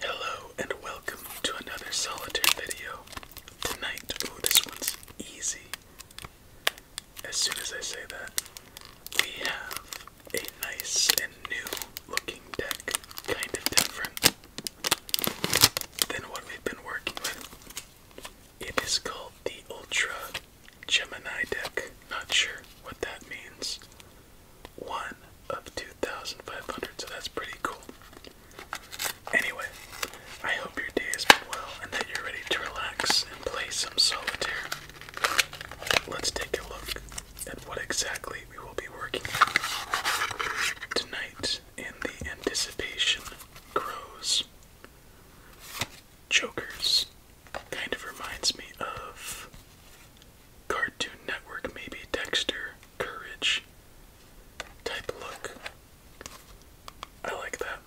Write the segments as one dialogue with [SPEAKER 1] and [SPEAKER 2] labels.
[SPEAKER 1] Hello and welcome to another solitaire video. Tonight, oh, this one's easy. As soon as I say that, we have a nice and new looking deck, kind of different than what we've been working with. It is called the Ultra Gemini deck. Not sure what that means. One of 2,500, so that's pretty cool. Anyway, I hope your day has been well and that you're ready to relax and play some solitaire. Let's take a look at what exactly we will be working on tonight in the Anticipation Grows Chokers, kind of reminds me of Cartoon Network, maybe Dexter, Courage type look. I like that.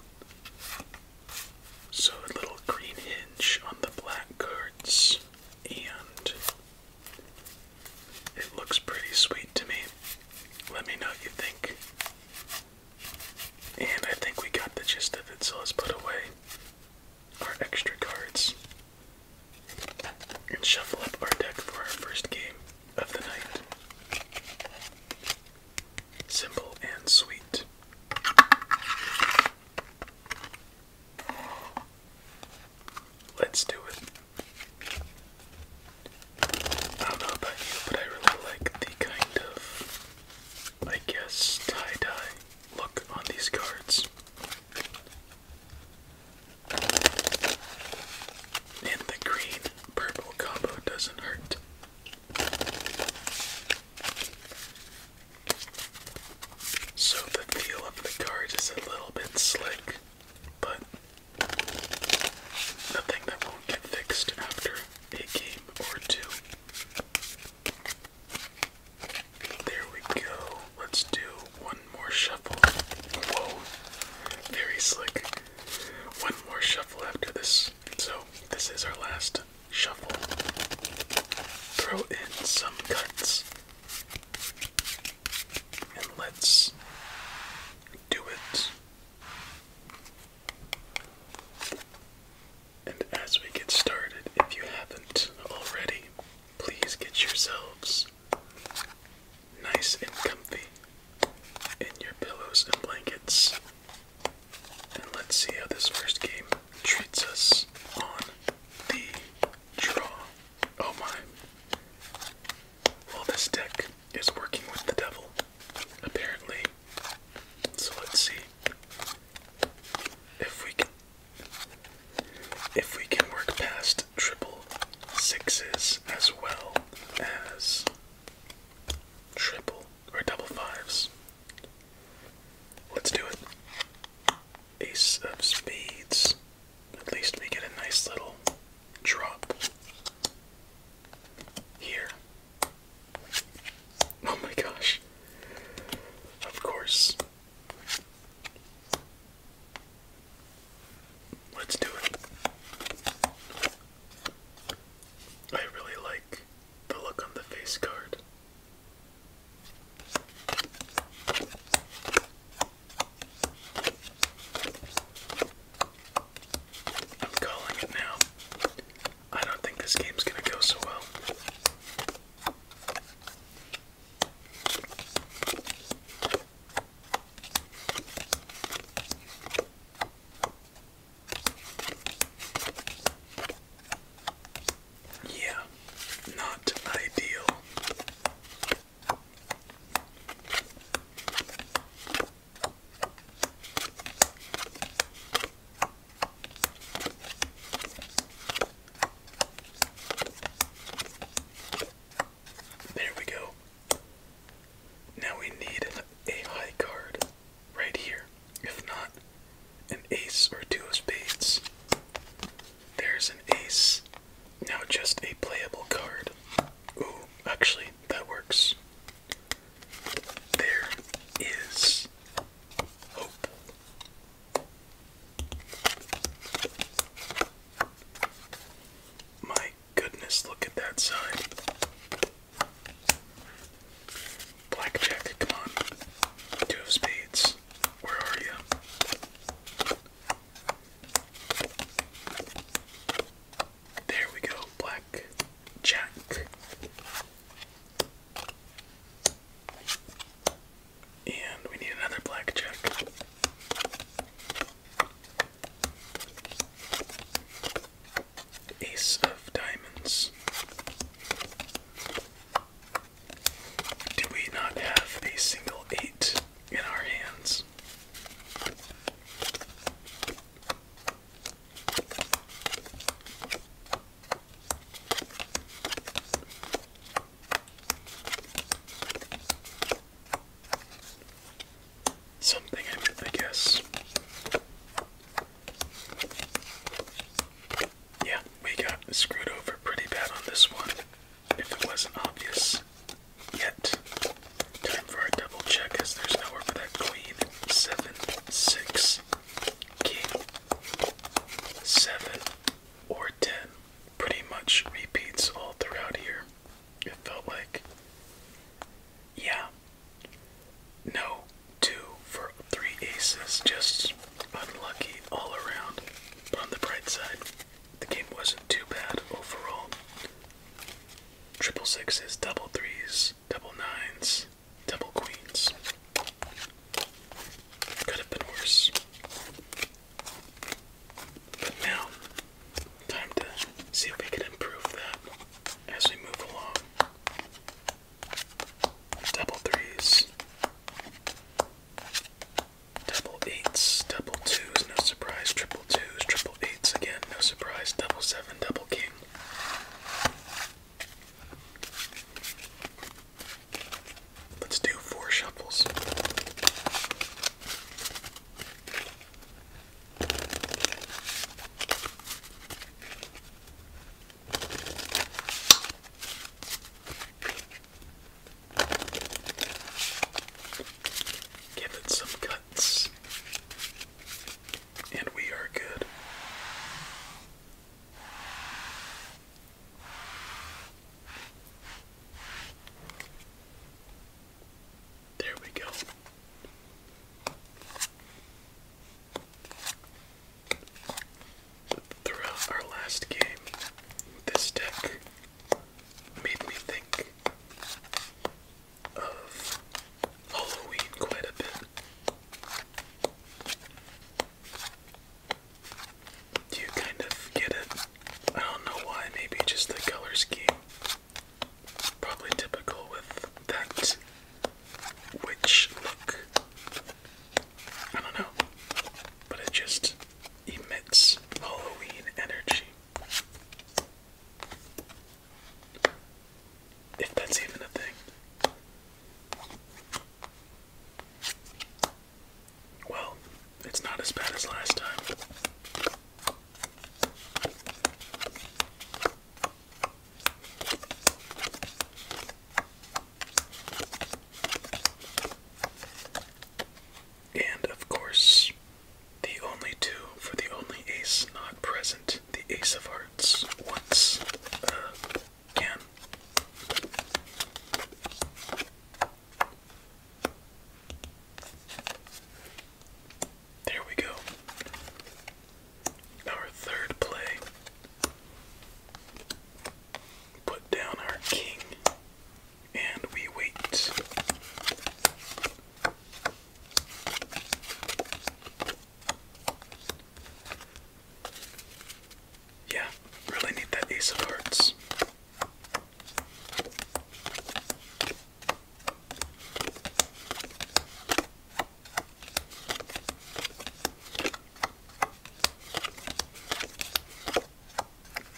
[SPEAKER 1] So a little green hinge on the black cards, and it looks pretty sweet to me. Let me know what you think. And I think we got the gist of it, so let's put away our extra cards and shuffle up our deck for our first game of the night. Simple and sweet. Let's do it. I don't know about you, but I really like the kind of, I guess, tie dye look on these cards. And the green purple combo doesn't hurt. So the feel of the card is a little bit slick, but nothing that won't get fixed after a game or two. There we go. Let's do one more shuffle. Whoa, very slick. One more shuffle after this. So, this is our last shuffle. Throw in some cuts. And let's do it. And as we get started, if you haven't already, please get yourselves nice and comfy in your pillows and blankets. And let's see how this first game treats us on the draw. Oh my. Well, this deck is working with the devil, apparently. So let's see if we can if we can work past triple sixes as well as triple or double fives. Let's do it. Ace of spades. At least we get a nice little drop here. Oh my gosh. Of course. Let's do it. I really like the look on the face card. I'm calling it now. I don't think this game's gonna go so well. Yeah, not ideal. There we go. Now we need a high card right here. If not, an ace or two of spades. There's an ace. Now just a playable card. Ooh, actually, that works. There is hope. My goodness, look at that side. Blackjack, come on. Two spades. Where are you? There we go, Black Jack. And we need another Black Jack. Ace of Diamonds. Do we not have a single eight in our hands? Something I guess. Yeah, we got screwed over pretty bad on this one, if it wasn't obvious yet. Time for a double check as there's nowhere for that queen seven, six, king, seven, or ten. Pretty much repeats all throughout here. It felt like. Yeah. No, two for three aces. Just unlucky all around. But on the bright side, the game wasn't too bad overall. Triple sixes, double threes, double nines, double queens. Could have been worse. But now, time to see if we can improve that as we move along. Double threes, double eights, double twos, no surprise, triple twos, triple eights again, no surprise, double seven, double king. Let's do four shuffles. Give it some cuts. And we are good. There we go. Throughout our last game, this deck made me think of Halloween quite a bit. you kind of get it? I don't know why, maybe just the color scheme. Probably typical with that witch look. I don't know. But it just emits Halloween energy. If that's even a thing. Well, it's not as bad as last time. And of course, the only two for the only ace not present, the ace of hearts cards once uh, again. There we go. Our third play. Put down our king and we wait. Yeah, really need that ace of hearts.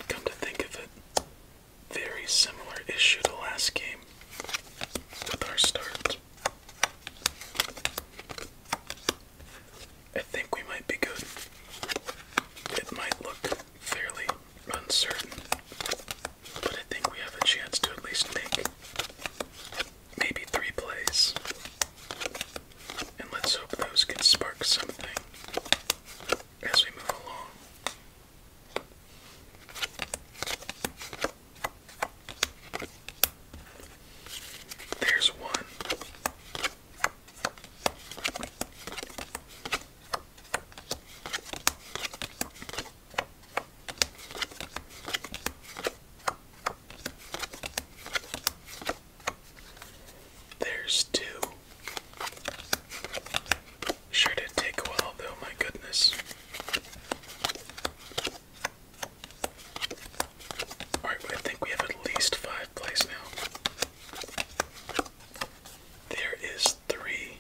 [SPEAKER 1] Come to think of it, very similar issue to last game with our start. I think we might be good. It might look fairly uncertain, but I think we have a chance to at least make maybe three plays. And let's hope those can spark something as we move along. There's one. There's two. Sure did take a while though, my goodness. Alright, I think we have at least five plays now. There is three.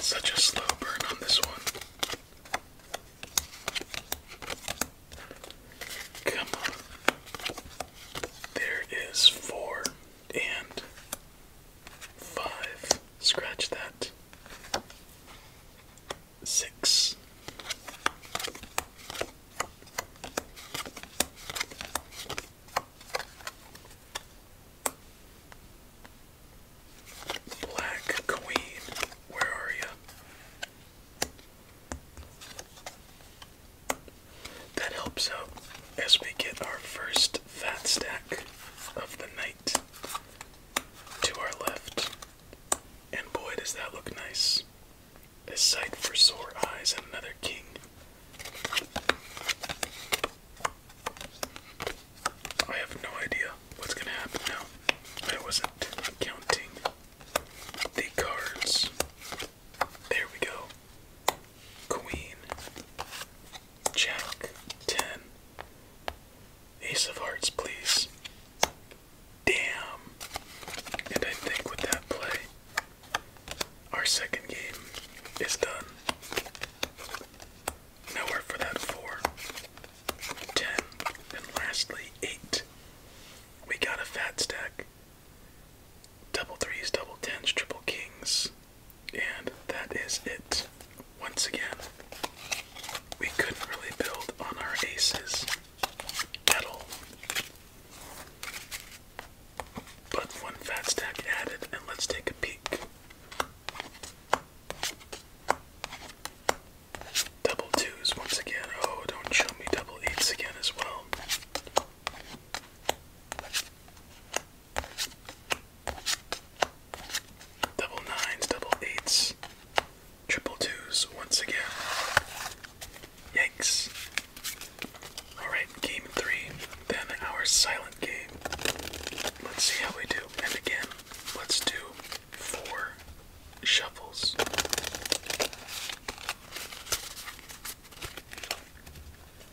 [SPEAKER 1] Such a slow burn on this one. Come on. There is four and five. Scratch that. Six. Black Queen, where are you? That helps out as we get our first fat stack of the night to our left. And boy, does that look nice. A sight for sore eyes and another king. I have no idea what's gonna happen now. I wasn't counting the cards. There we go. Queen, Jack, 10, Ace of Hearts, please. Damn. And I think with that play, our second game is done. Nowhere for that 4, and lastly, 8. We got a fat stack double threes, double tens, triple kings. And that is it. Once again, we couldn't really build on our aces at all. But one fat stack added, and let's take a peek. Double twos once again. Oh, don't show me double eights again as well. Double nines, double eights, triple twos once again. Yikes. Alright, game three, then our silent game. Let's see how we do. And again, let's do four shuffles.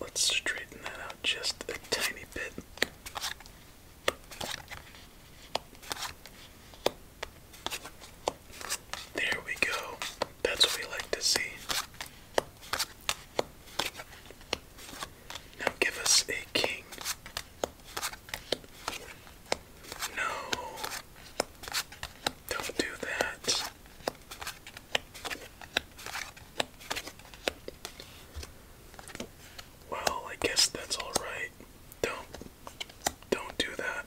[SPEAKER 1] Let's straighten that out just a tiny bit. There we go. That's what we like to see. Now give us a king. No. Don't do that. Well, I guess that's all right. Don't don't do that.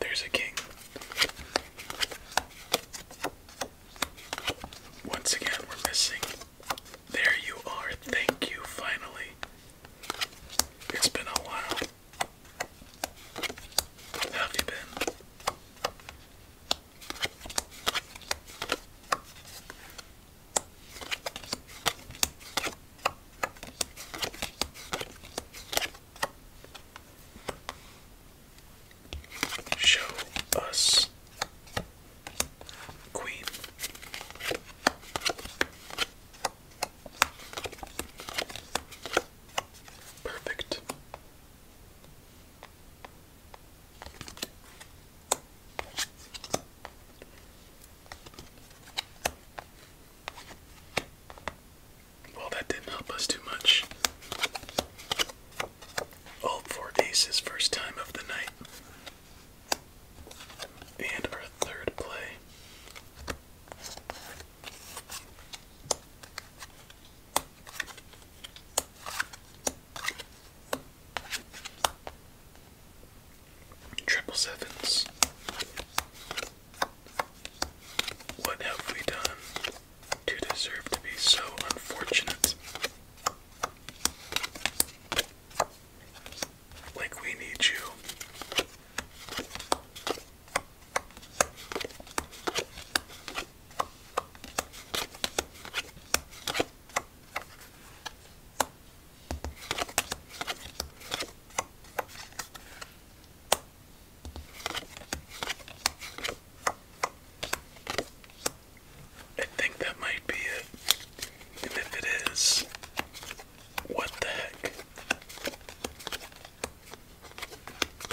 [SPEAKER 1] There's a king. Once again, we're missing there you are. Thank you, finally. It's been a while. How have you been? Show us Queen. Perfect. Well, that didn't help us too much. All four aces, first time of the night. And our third play. Triple sevens. What have we done to deserve to be so unfortunate? Like, we need you. I think that might be it. And if it is, what the heck?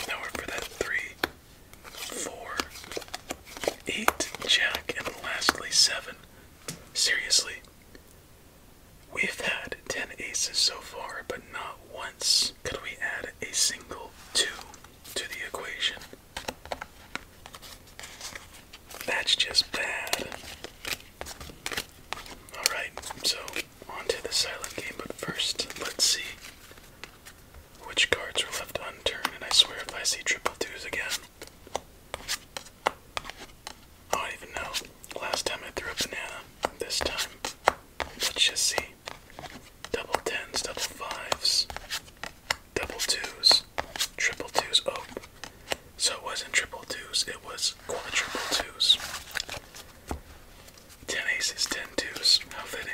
[SPEAKER 1] Now for that three, four, eight, jack, and lastly seven. Seriously, we've had ten aces so far, but not once could we add a single two to the equation. That's just bad. Alright, so on to the silent game, but first, let's see which cards are left unturned, and I swear if I see triple twos again. I don't even know. Last time I threw a banana. This time, let's just see. Double tens, double fives, double twos, triple twos. Oh, so it wasn't triple twos, it was quadruple twos. Ten aces, ten twos. How fitting.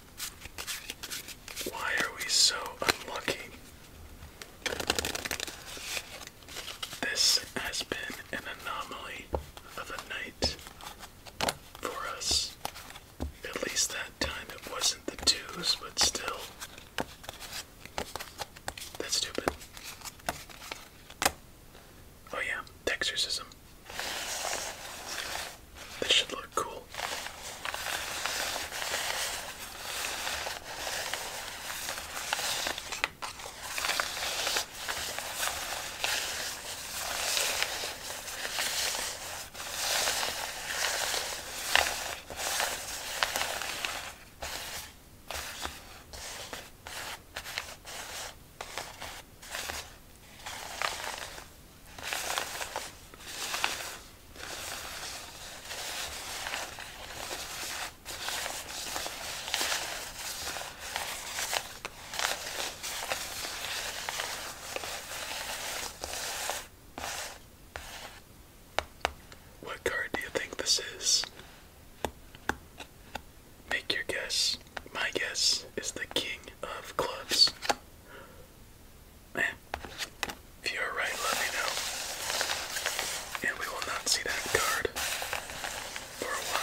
[SPEAKER 1] Why are we so unlucky? This has been an anomaly of a night for us. At least that time it wasn't the twos, but still. That's stupid. Oh, yeah, exorcism. This should look cool. What card do you think this is? Make your guess. My guess is the King of Clubs. If you are right, let me know. And we will not see that card for a while.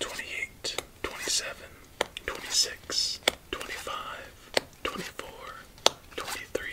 [SPEAKER 1] 28, 27, 26, 25, 24, 23,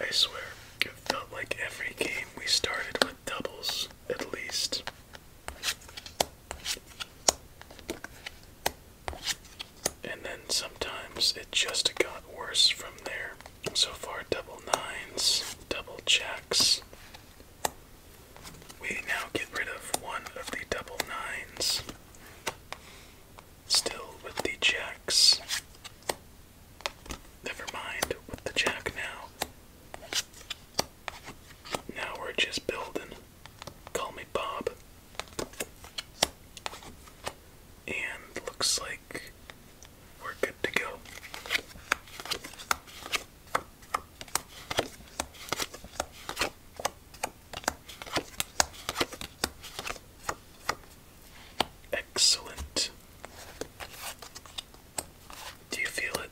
[SPEAKER 1] I swear, it felt like every game we started with doubles, at least. And then sometimes it just got worse from there. So far, double nines, double checks. We now get rid of one of the double nines. Still with the checks. Never mind with the jack now. Now we're just building. Call me Bob. And looks like we're good to go. Excellent. Do you feel it?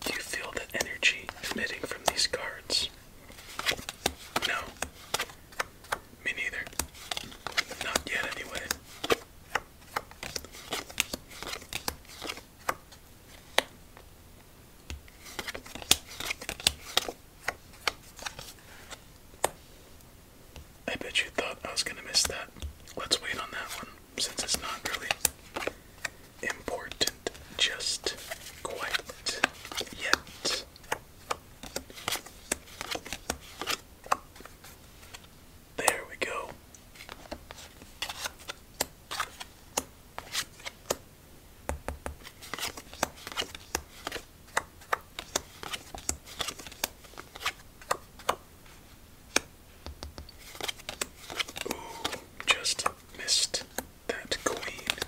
[SPEAKER 1] Do you feel the energy emitting from these cards? No. Me neither. Not yet, anyway. I bet you thought I was gonna miss that. Let's wait on that one since it's not really important just quite yet. There we go just missed that queen.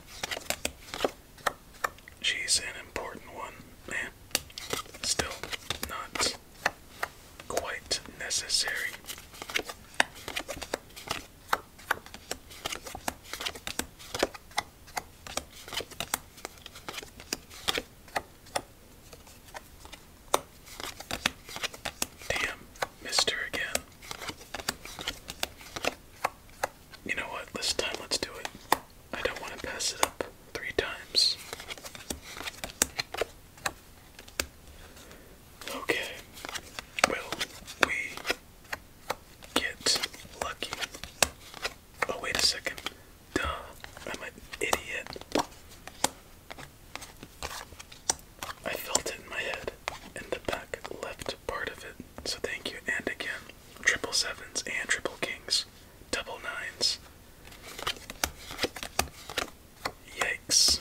[SPEAKER 1] She's an important one, man. Still not quite necessary. Damn, missed her again. You know what? This time let's do it. I don't want to pass it up three times. Okay. Will we get lucky? Oh, wait a second. Duh, I'm an idiot. I felt it in my head, in the back left part of it. So thank you, and again. Triple sevens and triple kings. Double nines. Yikes.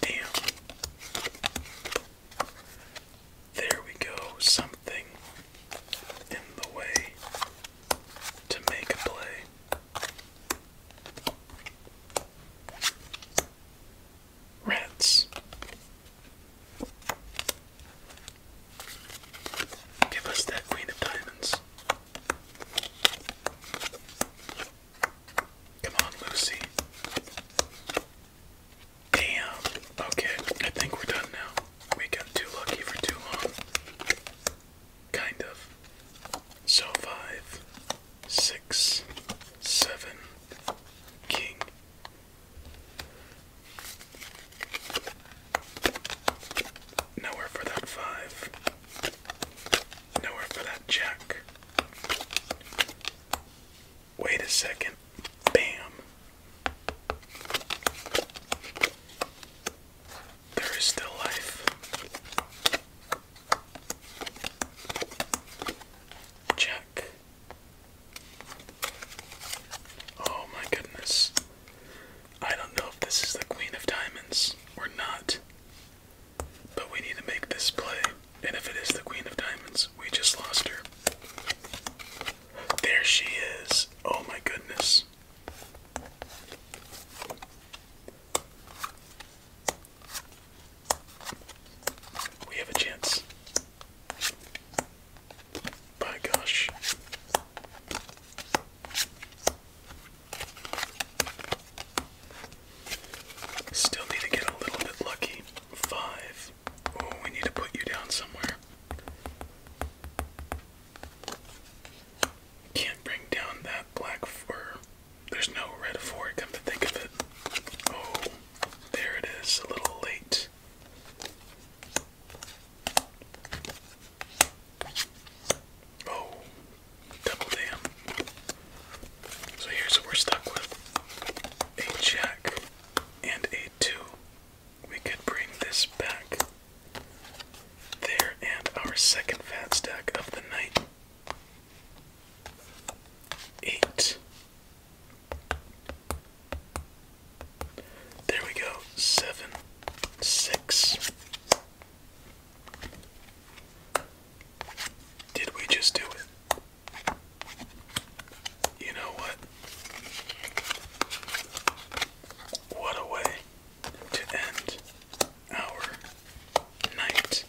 [SPEAKER 1] Damn. There we go, something in the way to make a play. Rats. Give us that Queen of Diamonds. Come on, Lucy. Damn. Okay, I think we're done now. We got too lucky for too long. Kind of. So five, six, seven, king. Nowhere for that five. Nowhere for that jack. Wait a second. Bam. There is still life. Check. Oh my goodness. I don't know if this is the Queen of Diamonds or not, but we need to make this play. And if it is the Queen of Diamonds, we just lost her. There she is. Oh my goodness. We have a chance. By gosh. Still need to get a little bit lucky. Five. Oh, we need to put you down somewhere. Can't bring down that black fur. There's no red for it, come to think of it. Oh, there it is, a little late. Oh, double dam. So here's what we're stuck with a jack and a two. We could bring this back there and our second fat stack of the night. Eight. There we go. Seven. Six. Did we just do it? You know what? What a way to end our night.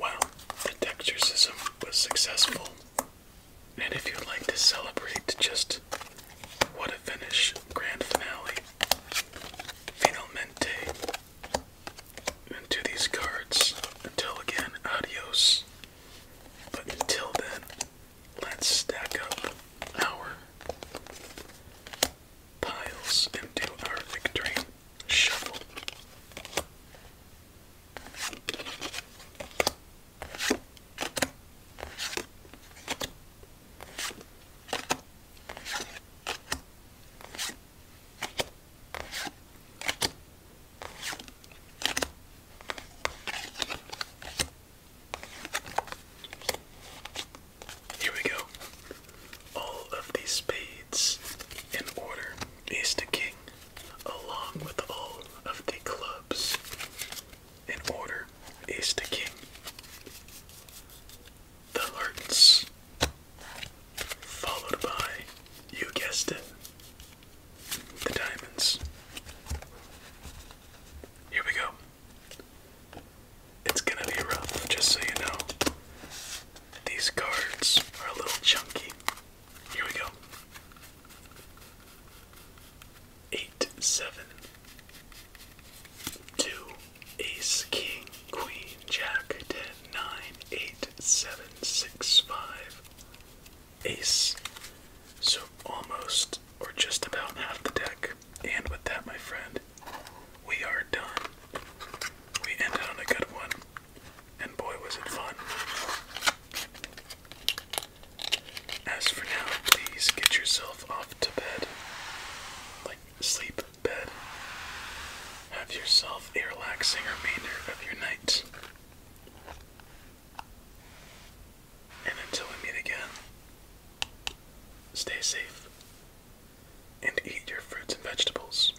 [SPEAKER 1] Wow, the Texturism was successful. And if you'd like to celebrate just what a finish grand finale, finalmente into these cards. Until again, adios. But until then, let's stack up our piles and our victory shuffle. Here we go. All of the spades in order ace to king, along with all of the clubs in order ace to king. The hearts, followed by, you guessed it, the diamonds. Here we go. It's gonna be rough, just so you know. These cards are a little chunky. Here we go. Eight, seven, two, ace, king, queen, jack, ten, nine, eight, seven, six, five, ace. So almost or just about half the deck. And with that, my friend, we are done. We ended on a good one. And boy, was it fun. As for now, please get yourself off to bed. Like, sleep, bed. Have yourself a relaxing remainder of your night. And until we meet again, stay safe and eat your fruits and vegetables.